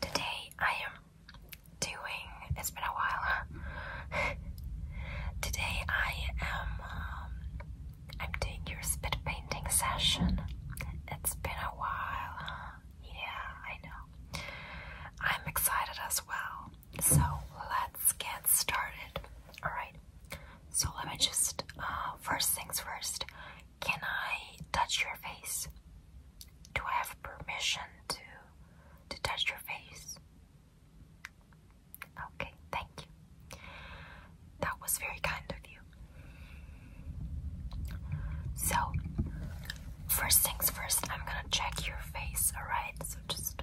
Today I am doing, it's been a while, today I am, um, I'm doing your spit painting session. It's been a while, yeah, I know. I'm excited as well, so let's get started. Alright, so let me just, uh, first things first, can I touch your face? Do have permission to to touch your face? Okay, thank you. That was very kind of you. So, first things first, I'm gonna check your face, alright? So just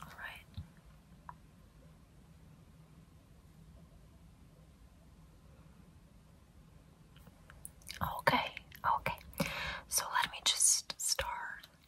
All right. Okay, okay. So let me just start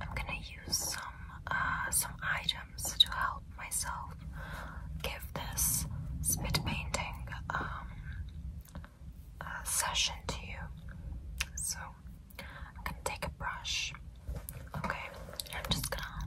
I'm gonna use some uh, some items to help myself give this spit painting um, uh, session to you. So I'm gonna take a brush. Okay, I'm just gonna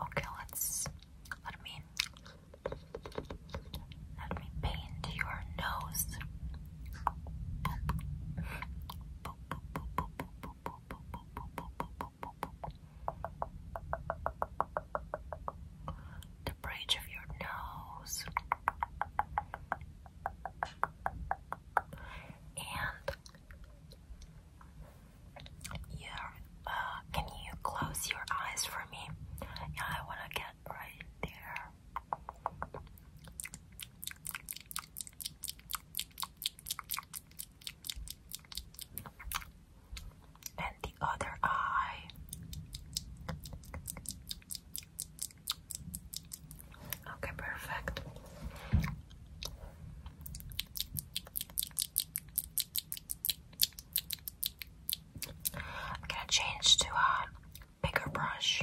Okay, let's let me let me paint your nose the bridge of your nose and yeah uh, can you close your eyes for me I want to get right there and the other eye. Okay, perfect. I'm gonna change to a bigger brush.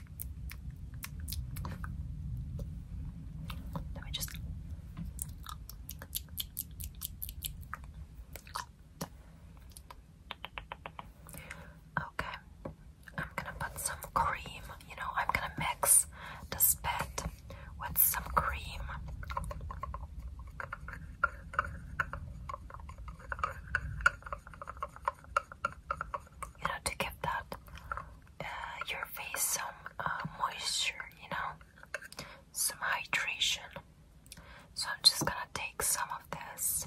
Let me just. Okay, I'm gonna put some cream. You know, I'm gonna mix the bit with some cream. You know, to give that uh, your face some uh, moisture, you know, some hydration. So I'm just gonna take some of this.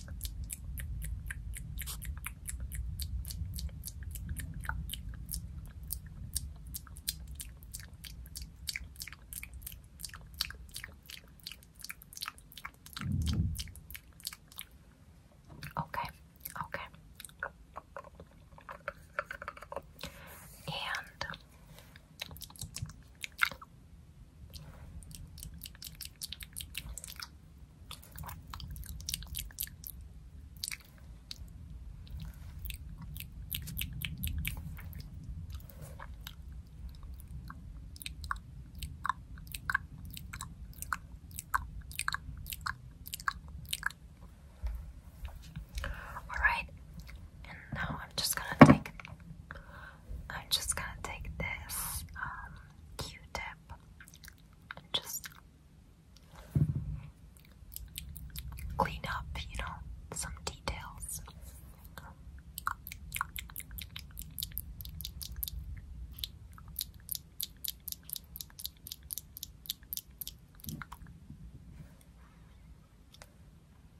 Okay, okay. And all right, and now I'm just gonna take I'm just gonna take this um, Q-tip and just clean up, you know, some details.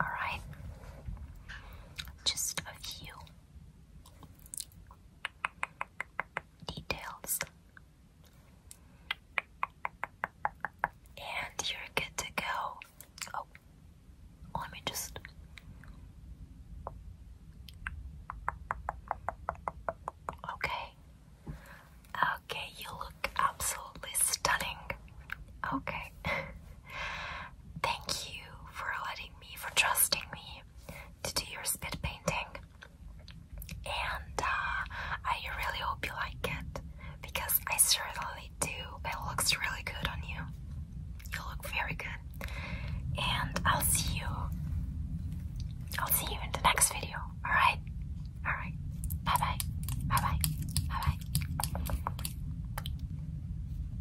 All right, just a few details. And you're good to go. Oh, let me just. Okay. Okay, you look absolutely stunning. Okay. Thank you for letting me, for trusting me to do your spit painting. And uh, I really hope you like it because I certainly do. It looks really good on you. You look very good. And I'll see you. I'll see you in the next video. All right. All right. Bye bye. Bye bye. Bye bye.